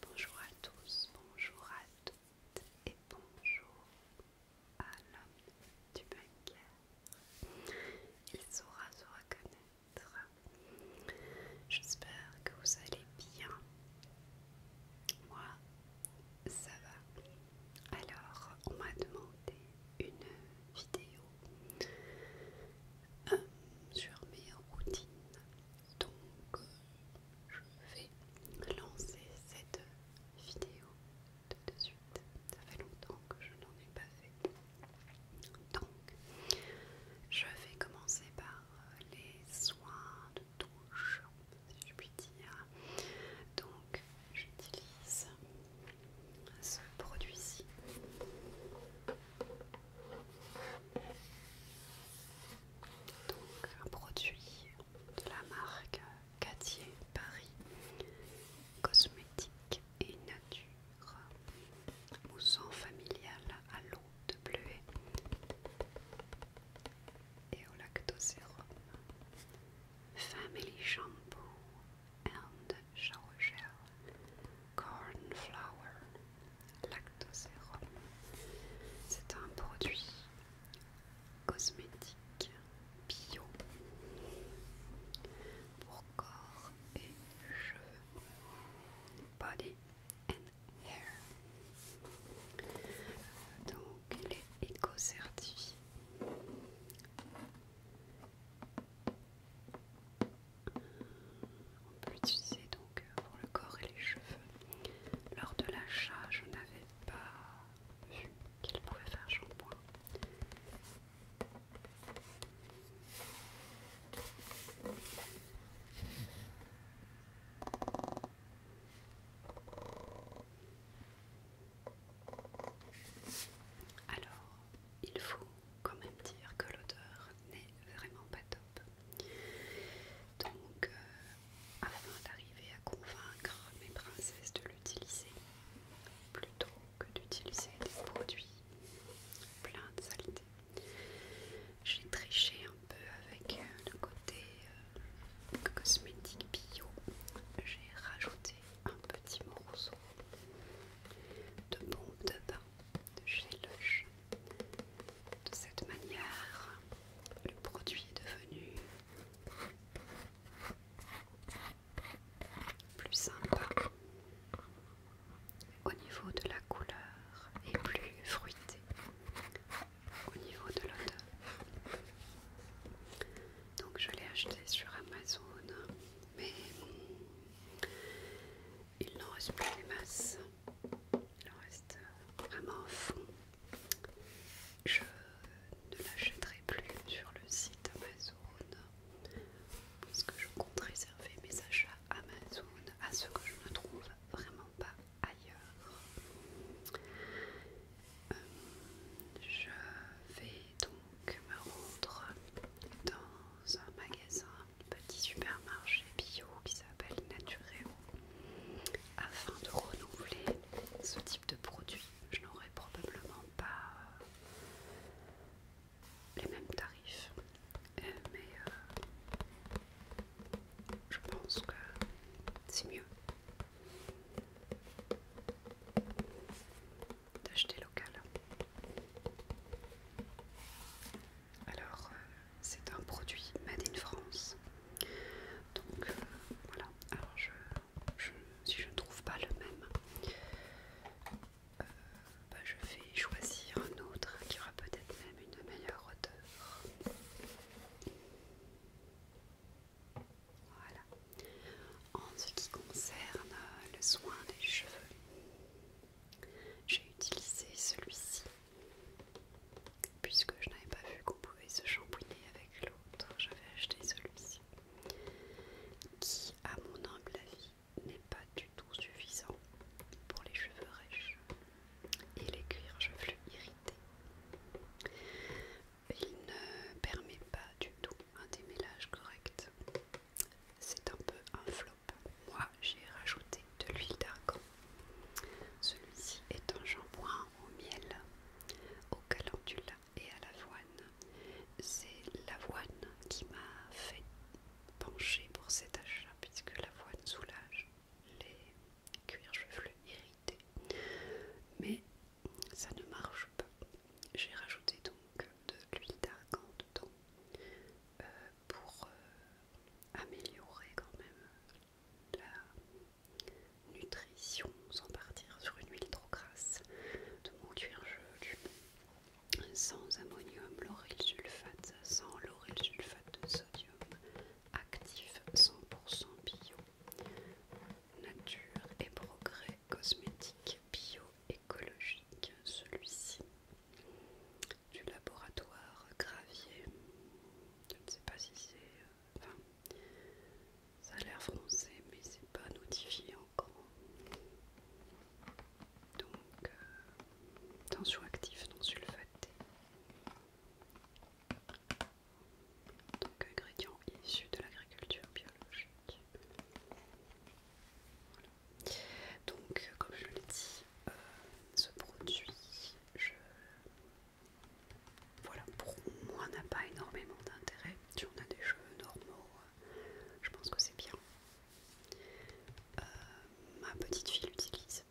Bonjour à tous, bonjour à toutes et bonjour à l'homme du bunker. Il saura se reconnaître. J'espère que vous allez bien. Moi, ça va. Alors, on m'a demandé une vidéo euh, sur mes routines. Donc, je vais lancer cette vidéo de suite. Ça fait longtemps que je n'en ai pas fait. Donc, je vais commencer par les soins de touche, si je puis dire. Donc, j'utilise ce produit-ci. Donc, un produit de la marque Catier Paris, cosmétique et nature, mousson familial à l'eau de bleuet et au lactosérum, family shampoo and shower cornflower, lactosérum. C'est un produit cosmétiques bio pour corps et cheveux. Body and hair. Donc il est éco-certifié. On peut l'utiliser donc euh, pour le corps et les cheveux. Lors de l'achat, je n'avais pas vu qu'il pouvait faire shampoing. Alors, il faut quand même dire que l'odeur n'est vraiment pas top. Donc, euh, afin d'arriver à convaincre mes princesses de l'utiliser plutôt que d'utiliser des produits pleins de saleté. J'ai triché un peu avec euh, le côté euh, cosmétique bio. J'ai rajouté un petit morceau de bombe de bain de chez De cette manière, le produit est devenu plus sympa au niveau de la couleur et plus fruité au niveau de l'odeur. Donc je l'ai acheté sur Amazon, mais il n'en reste plus des masses. Il en reste euh, vraiment un fond. Je ne l'achèterai plus sur le site Amazon parce que je compte réserver mes achats Amazon à ceux que je ne trouve vraiment pas ailleurs. Euh, je vais donc me rendre dans un magasin, un petit supermarché bio qui s'appelle Naturel afin de renouveler ce type de produit, je n'aurais probablement pas euh, les mêmes tarifs. Euh, mais euh, je pense que c'est mieux d'acheter local. Alors, c'est un produit Made in France. Donc euh, voilà, alors je, je, si je ne trouve pas le même, euh, bah, je vais choisir un autre qui aura peut-être même une meilleure odeur. Voilà. En ce qui concerne le soin des cheveux, j'ai utilisé celui-ci puisque je n'avais pas vu qu'on pouvait se shampooiner avec l'autre, j'avais acheté celui-ci, qui, à mon humble avis, n'est pas du tout suffisant pour les cheveux rêches et les cuirs chevelus irrités. Il ne permet pas du tout un démêlage correct. C'est un peu un flop. Moi, j'ai rajouté de l'huile d'argan celui-ci est un shampoing au miel, au calendula et à l'avoine. C'est l'avoine qui m'a fait pencher pour cet achat puisque l'avoine soulage les cuirs cheveux irrités. Mais ça ne marche pas. J'ai rajouté donc de l'huile d'argan dedans euh, pour euh, améliorer quand même la nutrition sans partir sur une huile trop grasse de mon cuir gelu sans ammonium, lauryl sulfate, sans lauryl sulfate de sodium, actif 100% bio, nature et progrès cosmétique bio-écologique, celui-ci du laboratoire Gravier, je ne sais pas si c'est euh, ça a l'air français, mais c'est pas notifié encore. Donc, euh, tension active non sulfatée. Donc, ingrédient issu de l'agriculture biologique. Donc, comme je l'ai dit, euh, ce produit, je voilà, pour moi n'a pas énormément d'intérêt. Si on a des cheveux normaux, euh, je pense que c'est bien. Euh, ma petite fille l'utilise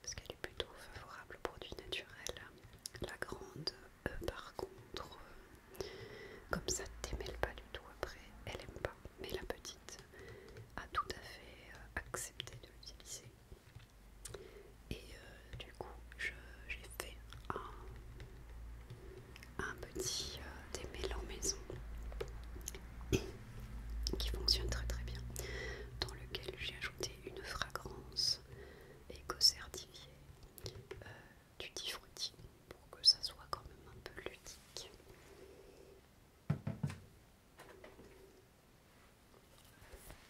parce qu'elle est plutôt favorable aux produits naturels. La grande, euh, par contre, comme ça t'émêle pas du tout après, elle aime pas. Mais la petite a tout à fait accepté de l'utiliser. Et euh, du coup, j'ai fait un, petit euh, en maison qui fonctionne très très bien, dans lequel j'ai ajouté une fragrance éco-certifiée euh, du diffruti pour que ça soit quand même un peu ludique.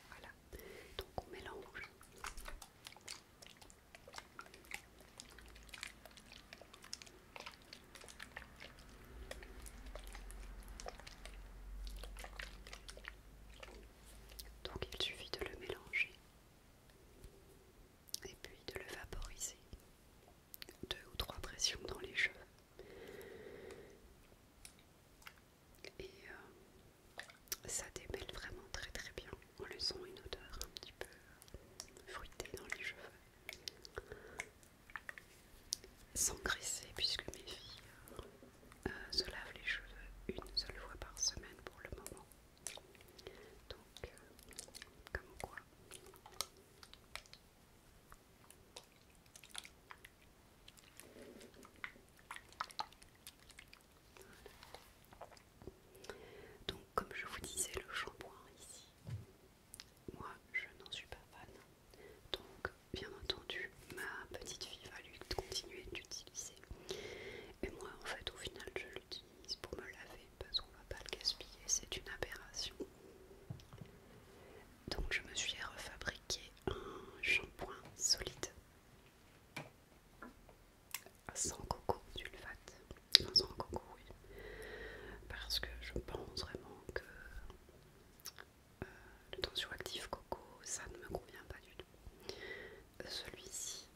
Voilà, donc on mélange. Donc il suffit de le mélanger et puis de le vaporiser. Deux ou trois pressions dans les cheveux et euh, ça démêle vraiment très très bien en laissant une odeur un petit peu euh, fruitée dans les cheveux sans graisser puisque mes filles euh, se lavent les cheveux une seule fois par semaine pour le moment donc comme quoi donc comme je vous disais le shampoing ici, moi je n'en suis pas fan. Donc bien entendu ma petite fille va lui continuer d'utiliser. Et moi en fait au final je l'utilise pour me laver parce qu'on va pas le gaspiller, c'est une aberration. Donc je me suis refabriqué un shampoing solide sans coco sulfate. sans coco, oui. Parce que je pense vraiment que le euh, le tensioactif coco, ça ne me convient pas du tout. Celui-ci,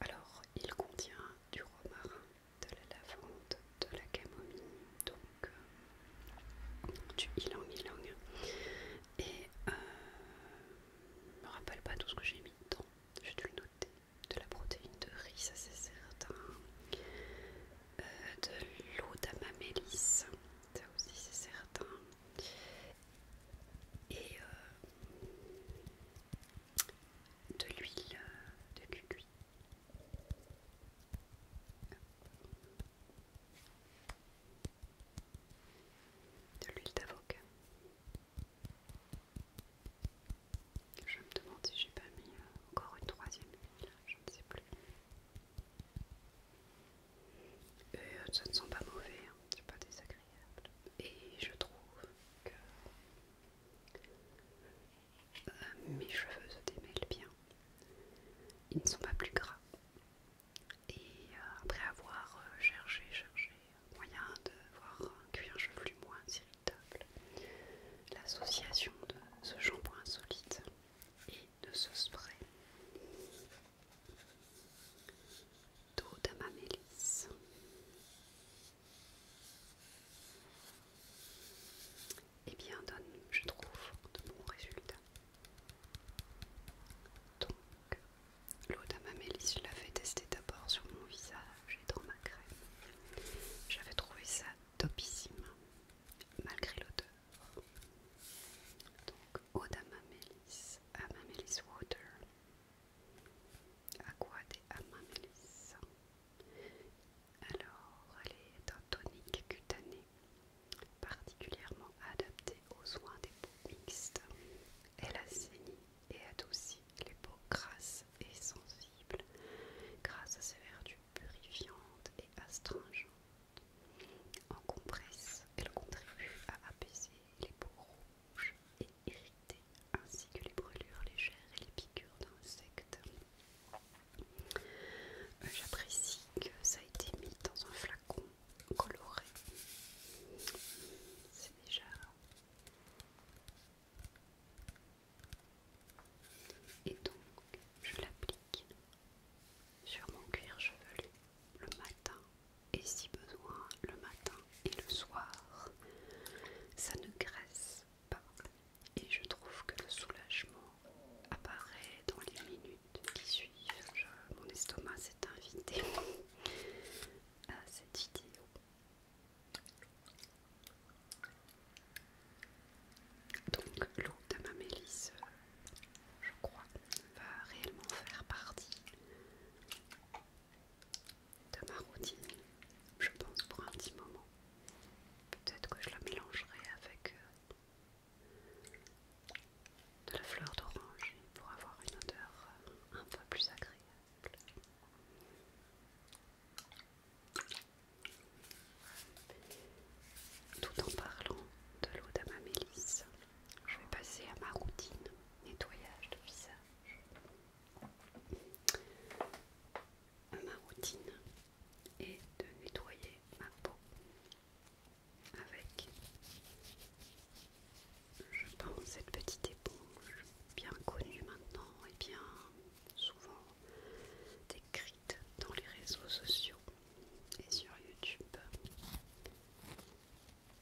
alors il contient du romarin, de la lavande, de la camomille, donc donc du ylang long et euh, je me rappelle pas tout ce que j'ai mis dedans j'ai dû le noter de la protéine de riz ça c'est certain euh, de l'eau d'amamélis ça aussi c'est certain et euh, de l'huile euh, de cucuy de l'huile d'avocat. Je me demande si j'ai pas mis euh, encore une troisième je ne sais plus. Et euh, ça ne sent pas mauvais, hein, c'est pas désagréable. Et je trouve que euh, mes cheveux se démêlent bien. Ils ne sont pas plus gras. Et euh, après avoir euh, cherché, cherché moyen de voir un cuir chevelu moins irritable, l'association de ce shampoing solide et de ce spray d'eau mélisse et eh bien, donne, je trouve, de bons résultats. Donc, l'eau d'amamélis, je l'avais testée d'abord sur mon visage et dans ma crème. J'avais trouvé ça topissime, malgré l'odeur. Donc, eau d'amamélis, amamélis water, aqua des amamélis. Alors, elle est un tonique cutané particulièrement adapté aux soins des peaux mixtes. Elle assainit et adoucit les peaux grasses et sensibles grâce à ses vertus purifiantes et astringentes. En compresse, elle contribue à apaiser les peaux rouges et irritées ainsi que les brûlures légères et les piqûres d'insectes. J'apprécie que ça a été mis dans un flacon coloré. C'est déjà... Et donc, je l'applique sur mon cuir chevelu le matin et si besoin le matin et le soir. Ça ne graisse pas et je trouve que le soulagement apparaît dans les minutes qui suivent. mon estomac s'est invité à cette vidéo. Donc l'eau de ma mélisse, je crois, va réellement faire partie de ma routine, je pense, pour un petit moment. Peut-être que je la mélangerai avec euh, de la fleur d'orange pour avoir une odeur euh, un peu plus agréable. Tout en parlant de l'eau mélisse je vais passer à ma routine nettoyage de visage ma routine est de nettoyer ma peau avec, je pense, cette petite éponge bien connue maintenant et bien souvent décrite dans les réseaux sociaux et sur YouTube.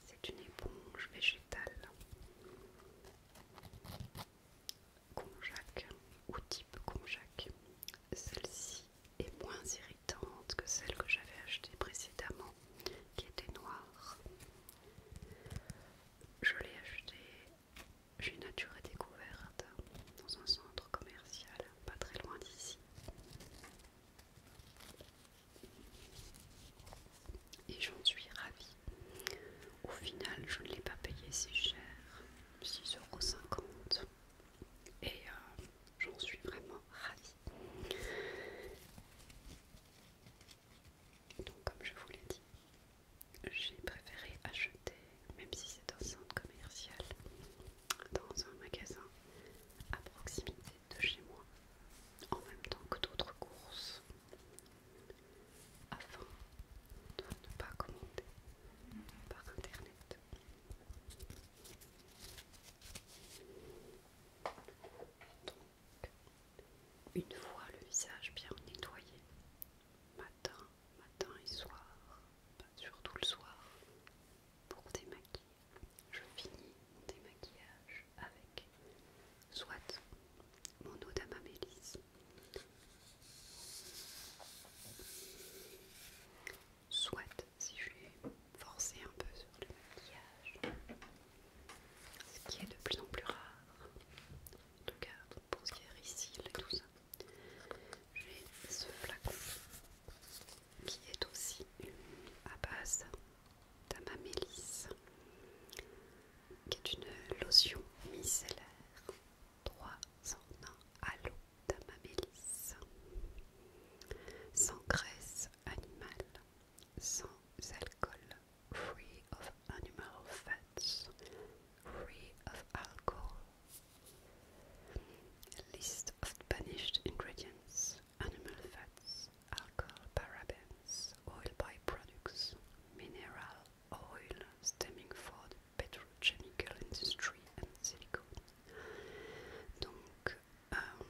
C'est une éponge végétale Conjac ou type Conjac. Celle-ci est moins irritante que celle que j'avais achetée précédemment, qui était noire. Je l'ai achetée chez Nature Découverte, dans un centre commercial, pas très loin d'ici. Et j'en suis ravie. Au final, je ne l'ai pas payé si cher, 6,50€ et euh, j'en suis vraiment ravie. Donc comme je vous l'ai dit, j'ai préféré acheter, même si c'est un centre commercial, dans un magasin à proximité de chez moi, en même temps que d'autres courses, afin de ne pas commander par internet. Donc, une fois le visage bien nettoyé, matin, matin et soir, ben, surtout le soir, pour démaquiller, je finis mon démaquillage avec soit mon eau d'amamélis, Soit si je vais forcer un peu sur le maquillage, ce qui est de plus en plus rare, en tout cas pour ce qui est tout ça, j'ai ce flacon qui est aussi à base d'amamélis, qui est une lotion micellaire 300 à l'eau sans graisse animale, sans alcool, free of animal fats, free of alcohol. List of banished ingredients, animal fats, alcohol, parabens, oil byproducts, mineral oil stemming food petrochemical industry and silicone. Donc, euh,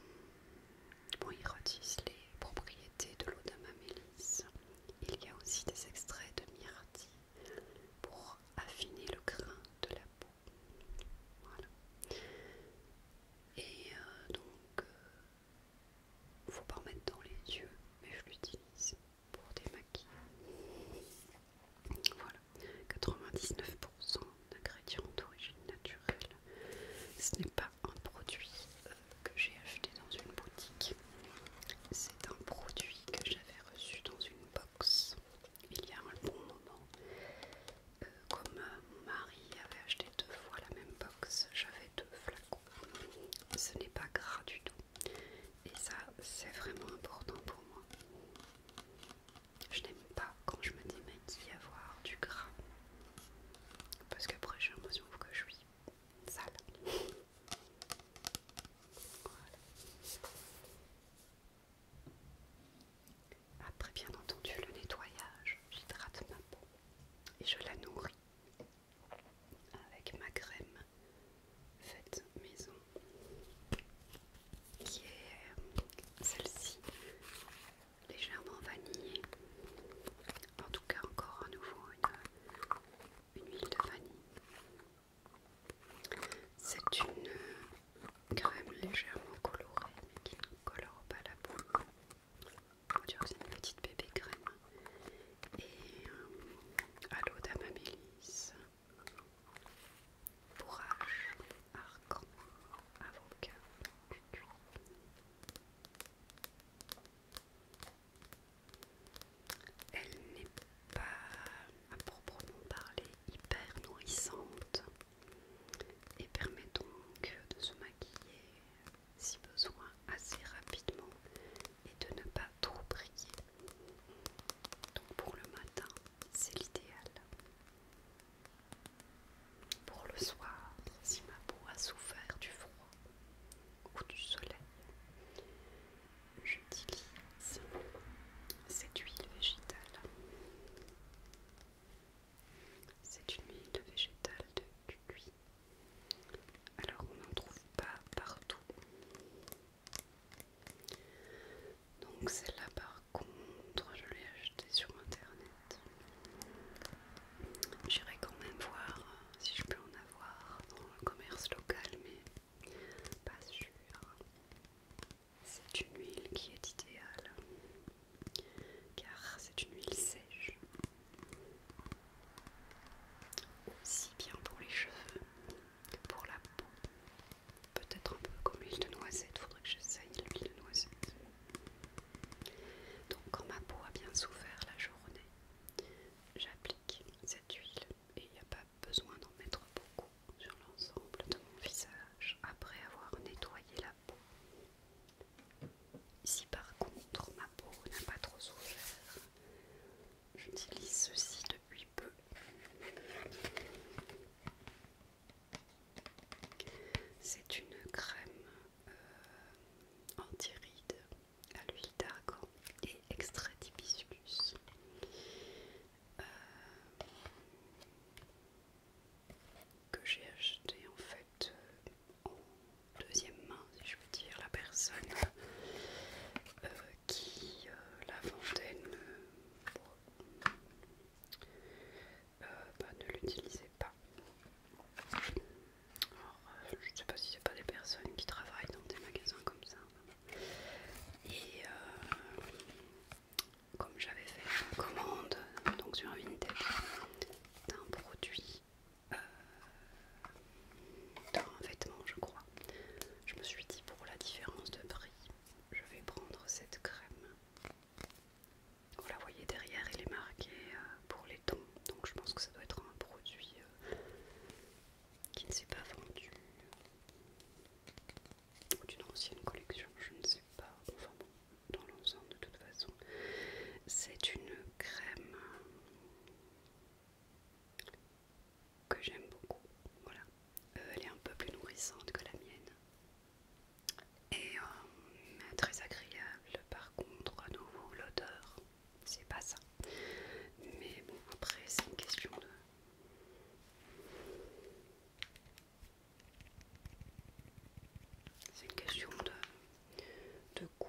bon, ils redisent les propriétés de l'eau d'amamélis. Il y a aussi des extraits de myrtille pour affiner le grain de la peau. Voilà. Et euh, donc, donc, euh, ne faut pas en mettre dans les yeux, mais je l'utilise pour démaquiller. Voilà, 99% d'ingrédients d'origine naturelle. Ce n'est pas un produit euh, que j'ai acheté dans une boutique, c'est un produit que j'avais reçu dans une box il y a un bon moment. Euh, comme euh, mon mari avait acheté deux fois la même box, j'avais deux flacons. Ce n'est pas gras du tout. Et ça, c'est vraiment important pour moi. Je n'aime pas quand je me dis y avoir du gras. Parce qu'après, j'ai l'impression que je suis sale. Après, bien entendu, le nettoyage, j'hydrate ma peau et je la nourris avec ma crème faite maison qui est euh, celle-ci légèrement vanillée en tout cas encore à nouveau une, huile de vanille c'est une euh, crème légèrement colorée mais qui ne colore pas la peau on dirait que c'est une petite bébé crème et euh, à l'eau d'amabilis. Elle n'est pas à proprement parler hyper nourrissante et permet donc de se maquiller si besoin assez rapidement et de ne pas trop briller. Donc pour le matin, c'est l'idéal. Pour le soir, si ma peau a souffert du froid ou du soleil, j'utilise cette huile végétale. C'est une huile végétale de cuit. Alors on n'en trouve pas partout. Donc celle-là par contre je l'ai achetée sur internet. J'irai quand même voir si je peux en avoir dans le commerce local mais pas sûr. C'est une huile qui est idéale car c'est une huile sèche aussi bien pour les cheveux que pour la peau. Peut-être un peu comme l'huile de noisette, faudrait que j'essaye l'huile de noisette. Donc quand ma peau a bien souffert la journée, j'applique cette huile et il n'y a pas besoin d'en mettre beaucoup sur l'ensemble de mon visage après avoir nettoyé la peau. Si par contre ma peau n'a pas trop souffert, J'utilise ceci depuis peu. C'est une crème euh, anti-rides à l'huile d'argan et extrait d'hibiscus. Euh, que j'ai acheté en fait euh, en deuxième main je dire, la personne euh, qui euh, la fontaine ne euh, bah, l'utilisait pas. je ne sais pas si c'est pas des personnes qui travaillent dans des magasins comme ça. Et comme j'avais fait une commande donc sur Vinted d'un produit dans un vêtement, je crois. Je me suis dit pour la différence de prix, je vais prendre cette crème. Vous la voyez derrière, elle est marqué euh, pour les tons, donc je pense que ça doit être un produit euh, qui ne s'est pas vendu ou d'une ancienne collection, je ne sais pas. Enfin bon, dans l'ensemble, de toute façon, c'est une crème que j'aime beaucoup. Voilà, euh, elle est un peu plus nourrissante que la mienne et euh, très agréable. Par contre, à nouveau, l'odeur, c'est pas ça. Mais bon, après, c'est une question de. C'est une question de, de goût.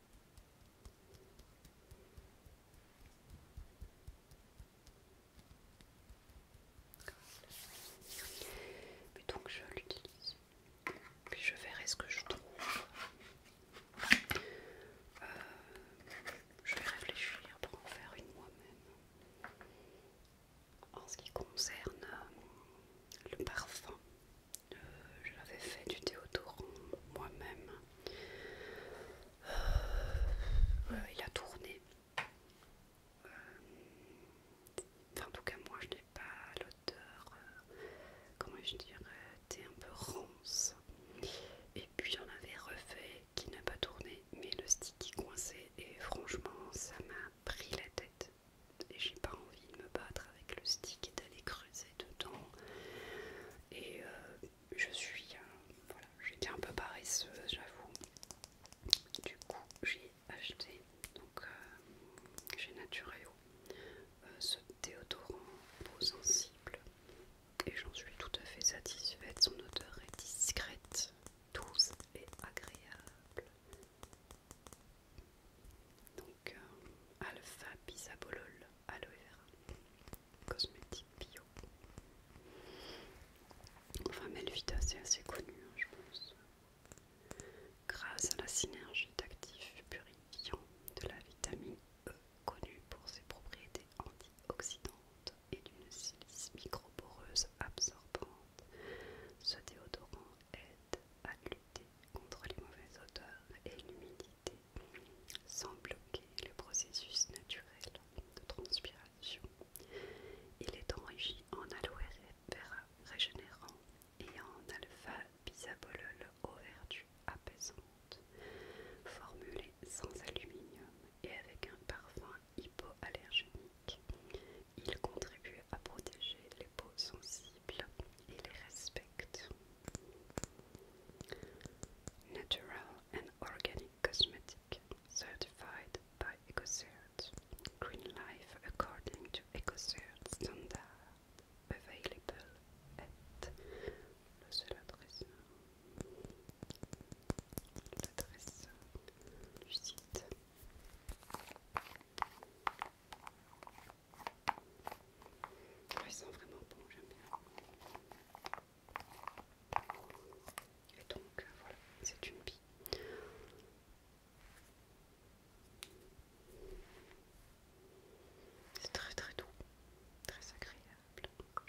donc je l'utilise. Puis je verrai ce que je trouve. Euh, je vais réfléchir pour en faire une moi-même. En ce qui concerne euh, le parfum, euh, J'avais fait du autour moi-même. Euh, il a tourné. Euh, en tout cas, moi je n'ai pas l'odeur, comment je dirais, t'es un peu ronce, Et puis j'en avais refait qui n'a pas tourné, mais le stick est coincé, et franchement, ça m'a pris la tête. Et j'ai pas envie de me battre avec le stick et d'aller dedans. Et euh, je suis. Euh, voilà, j'étais un peu paresseuse, euh, j'avoue. Du coup, j'ai acheté. Donc, chez Natureo. ce déodorant peau sensible et j'en suis tout à fait satisfaite. Son odeur est discrète, douce et agréable. Donc euh, Alpha Bisabolol Aloe Cosmétique Bio Enfin Melvita c'est assez connu hein, je pense Grâce à la synergie d'actifs purifiants de la vitamine E connue pour ses propriétés antioxydantes et d'une silice microporeuse absorbante, ce déodorant aide à contre les mauvaises odeurs et l'humidité sans bloquer le processus naturel de transpiration. Il est enrichi en aloe vera régénérant et en alpha bisabolol au verdu apaisante formulé sans aluminium et avec un parfum hypoallergénique. Il contribue à protéger les peaux sensibles il et les respecte. Natural and Organic Cosmetic Certified by EcoCert Green Life according to EcoCert standard available at le l'adresse du site ah, il sent vraiment bon, j'aime bien. Et donc euh, voilà, c'est une bille. C'est très très doux, très agréable, j'aime beaucoup.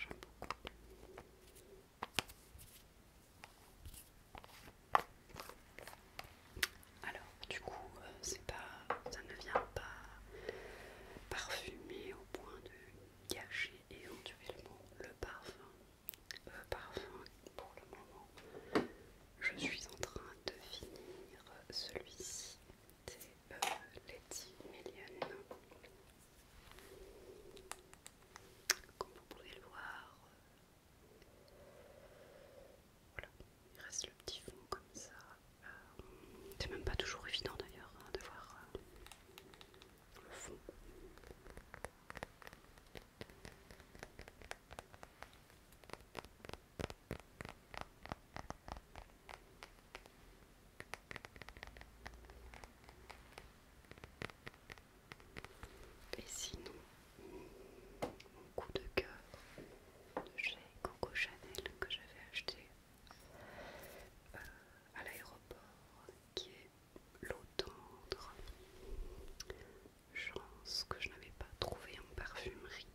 Alors, du coup, euh, c'est pas, ça ne vient pas parfumer au point de gâcher éventuellement le parfum. Euh, parfum, pour le moment, je suis en train de finir celui-ci. C'est Lady euh, Letty Million. Comme vous pouvez le voir, voilà, il reste le petit fond comme ça. Euh, c'est même pas toujours évident d'ailleurs hein, de voir euh, le fond. Et sinon, mon coup de cœur de chez Coco Chanel que j'avais acheté euh, à l'aéroport qui est l'eau tendre. Chance que je n'avais pas trouvé en parfumerie.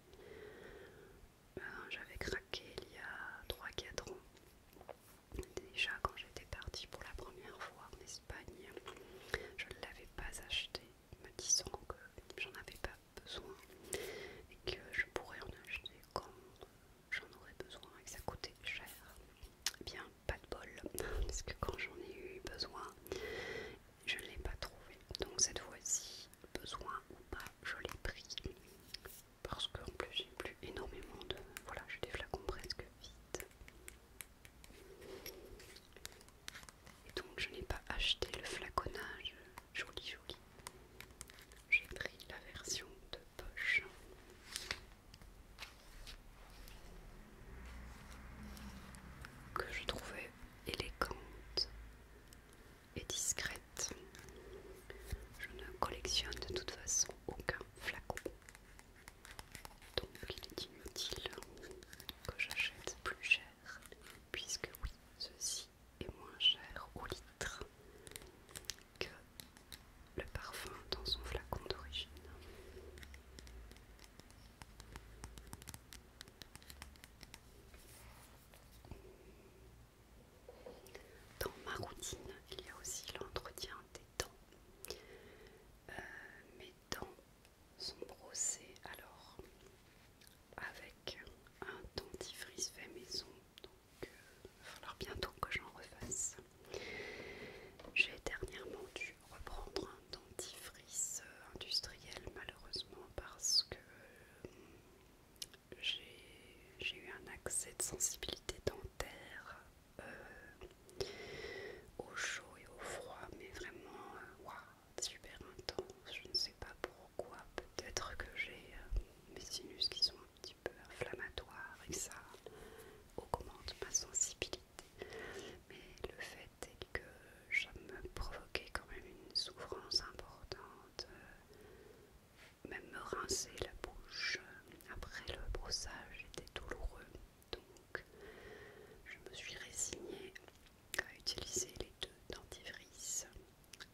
Euh, j'avais craqué il y a 3-4 ans. Déjà quand j'étais partie pour la première fois en Espagne, je ne l'avais pas acheté, me disant que j'en avais pas besoin et que je pourrais en acheter quand j'en aurais besoin et que ça coûtait cher. Eh bien, pas de bol, parce que quand j'en ai eu besoin, je ne l'ai pas trouvé. Donc cette fois-ci, besoin ou pas, je l'ai pris. Parce en plus, j'ai plus énormément de... Voilà, j'ai des flacons presque vides. Et donc je n'ai pas acheté le flaconnage joli joli. J'ai pris la version de poche. Que je trouvais élégante et discrète. Je ne collectionne de toute façon aucun flacon. Donc il est inutile que j'achète plus cher puisque oui, ceci est moins cher au litre que le parfum dans son flacon d'origine. Dans ma routine, il y a aussi l'entretien des dents. Euh, mes dents sont brossés alors avec un dentifrice fait maison. Donc, euh, il va falloir bientôt que j'en refasse. J'ai dernièrement dû reprendre un dentifrice euh, industriel, malheureusement, parce que euh, j'ai eu un accès de sensibilité dentaire au chaud et au froid, mais vraiment, waouh, super intense, je ne sais pas pourquoi, peut-être que j'ai euh, mes sinus qui sont un petit peu inflammatoires et ça augmente ma sensibilité. Mais le fait est que ça me provoquait quand même une souffrance importante. Euh, même me rincer la bouche euh, après le brossage était douloureux. Donc je me suis résignée utiliser les deux dentifrices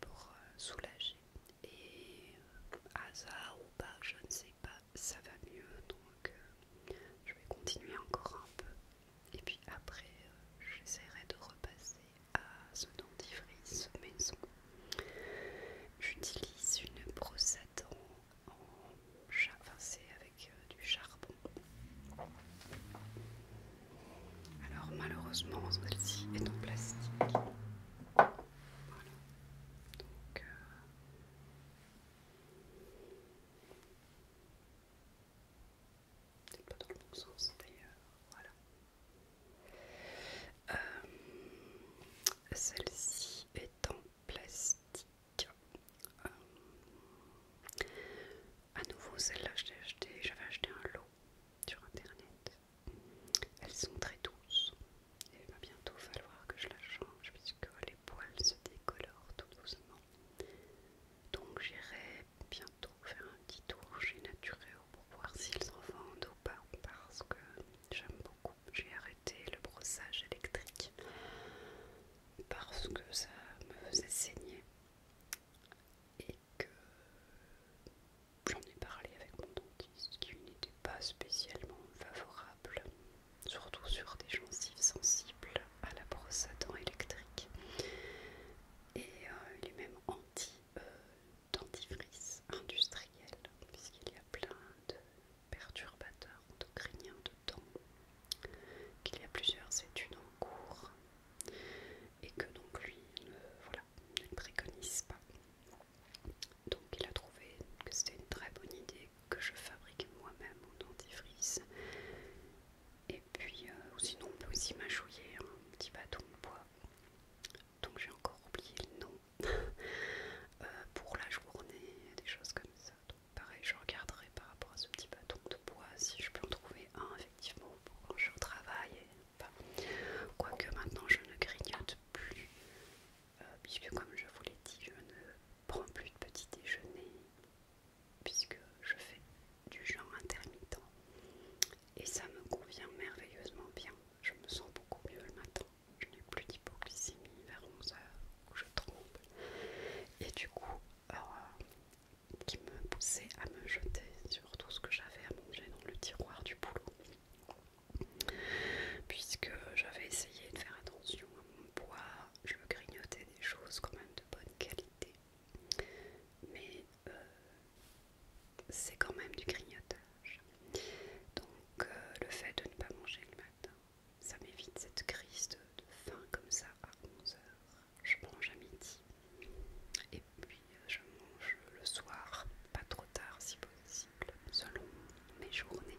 pour euh, soulager. Et hasard euh, ou pas, je ne sais pas, ça va mieux donc euh, je vais continuer encore un peu. Et puis après, j'essaierai de repasser à ce dentifrice maison. J'utilise une brosse à dents en chat, enfin c'est euh, du charbon. Alors malheureusement celle-ci est en plastique. Voilà. Donc, euh, C'est pas dans le bon sens d'ailleurs. Voilà. Euh, Celle-ci est en plastique. Euh, à nouveau celle-là je l'ai acheté, j'avais acheté un lot sur internet. Elles sont très douces. Il va bientôt falloir que je la change puisque les poils se décolorent tout doucement. Donc j'irai bientôt faire un petit tour chez Natureo pour voir s'ils en vendent ou pas parce que j'aime beaucoup. J'ai arrêté le brossage électrique parce que ça me faisait saigner et que j'en ai parlé avec mon dentiste qui n'était pas spécialement favorable, surtout sur des gencives sensibles à la brosse à dents électrique. Et les euh, il est même anti-dentifrice industriel, puisqu'il y a plein de perturbateurs endocriniens qu'il y a plusieurs études en cours et que donc lui ne, voilà, préconise pas. Donc il a trouvé que c'était une très bonne idée que je fabrique moi-même en dentifrice. Et puis, euh, sinon on peut aussi m'achouiller un petit bâton de bois. Donc j'ai encore oublié le nom euh, pour la journée, des choses comme ça. Pareil, je regarderai par rapport à ce petit bâton de bois si je peux en trouver un, effectivement, pour quand je travaille. Quoique maintenant je ne grignote plus, euh, puisque comme je vous l'ai dit, je ne prends plus de petit déjeuner, puisque je fais du genre intermittent. Et ça me convient merveilleusement bien. Je me sens beaucoup mieux le matin. Je n'ai plus d'hypoglycémie vers 11h je tremble. Et du coup, alors... Euh, qui me poussait à me jeter sur tout ce que j'avais à manger dans le tiroir du boulot. Puisque j'avais essayé de faire attention à mon poids, je grignotais des choses quand même de bonne qualité. Mais euh, c'est quand même du grignotage. Donc euh, le fait de ne pas manger le matin, ça m'évite cette crise de, faim comme ça à 11h. Je mange à midi et puis euh, je mange le soir, pas trop tard si possible, selon mes journées.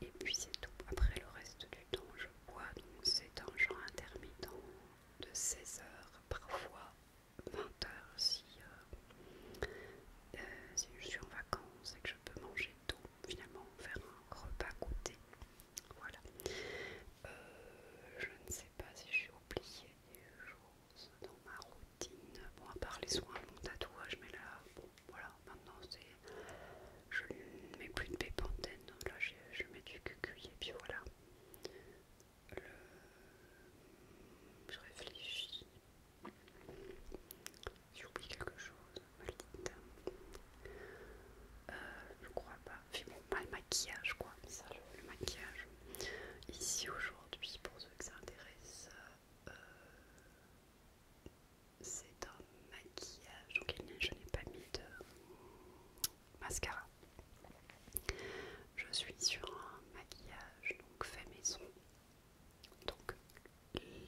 Et puis c'est tout. Après le reste du temps, je bois, donc c'est un genre intermittent de 16h, parfois 20h euh, euh, si, je suis en vacances et que je peux manger tout finalement faire un repas goûté. Voilà. Euh, je ne sais pas si j'ai oublié des choses dans ma routine. Bon, à part les soins, mon tatouage, mais là, bon, voilà, maintenant c'est. Je ne mets plus de donc Là, je, mets du cuculier et puis voilà. Je réfléchis. J'ai oublié quelque chose, mal dit euh, je crois pas. Puis bon, pas maquillage quoi, mais ça le, maquillage. Ici aujourd'hui, pour ceux que ça intéresse, euh, c'est un maquillage. Donc je n'ai pas mis de mascara. Je suis sur un maquillage donc fait maison. Donc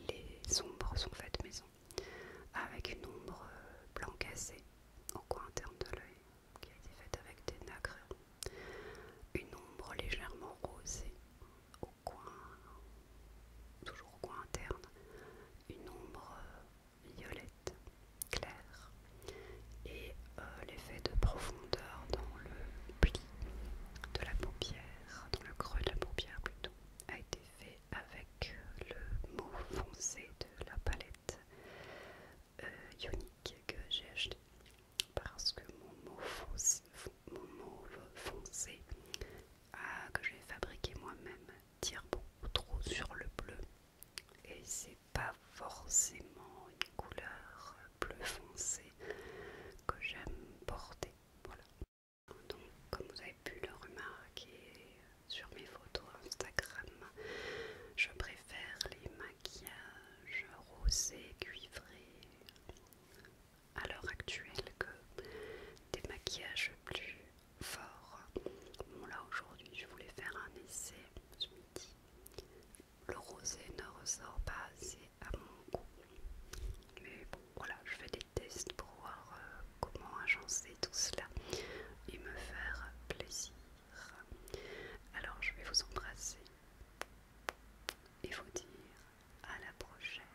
les ombres sont faites maison, avec une ombre euh, blanc cassé au coin interne de l'œil, qui a été faite avec des nacres, une ombre légèrement rosée au coin, toujours au coin interne, une ombre euh, violette claire et euh, l'effet de profondeur dans le pli de la paupière, dans le creux de la paupière plutôt, a été fait avec le mot foncé de la palette euh, ionique que j'ai acheté parce que mon mot foncé, mauve foncé que j'ai fabriqué moi-même tire beaucoup trop sur le bleu et c'est pas forcément une couleur bleu foncé que j'aime porter voilà donc, comme vous avez pu le remarquer euh, sur mes photos Instagram, je préfère les maquillages rosés cuivrés à l'heure actuelle que des maquillages plus forts. Bon là aujourd'hui je voulais faire un essai ce midi. Le rosé ne ressort pas assez à mon goût voilà, je fais des tests pour voir euh, comment agencer tout cela et me faire plaisir. Alors je vais vous embrasser et vous dire à la prochaine.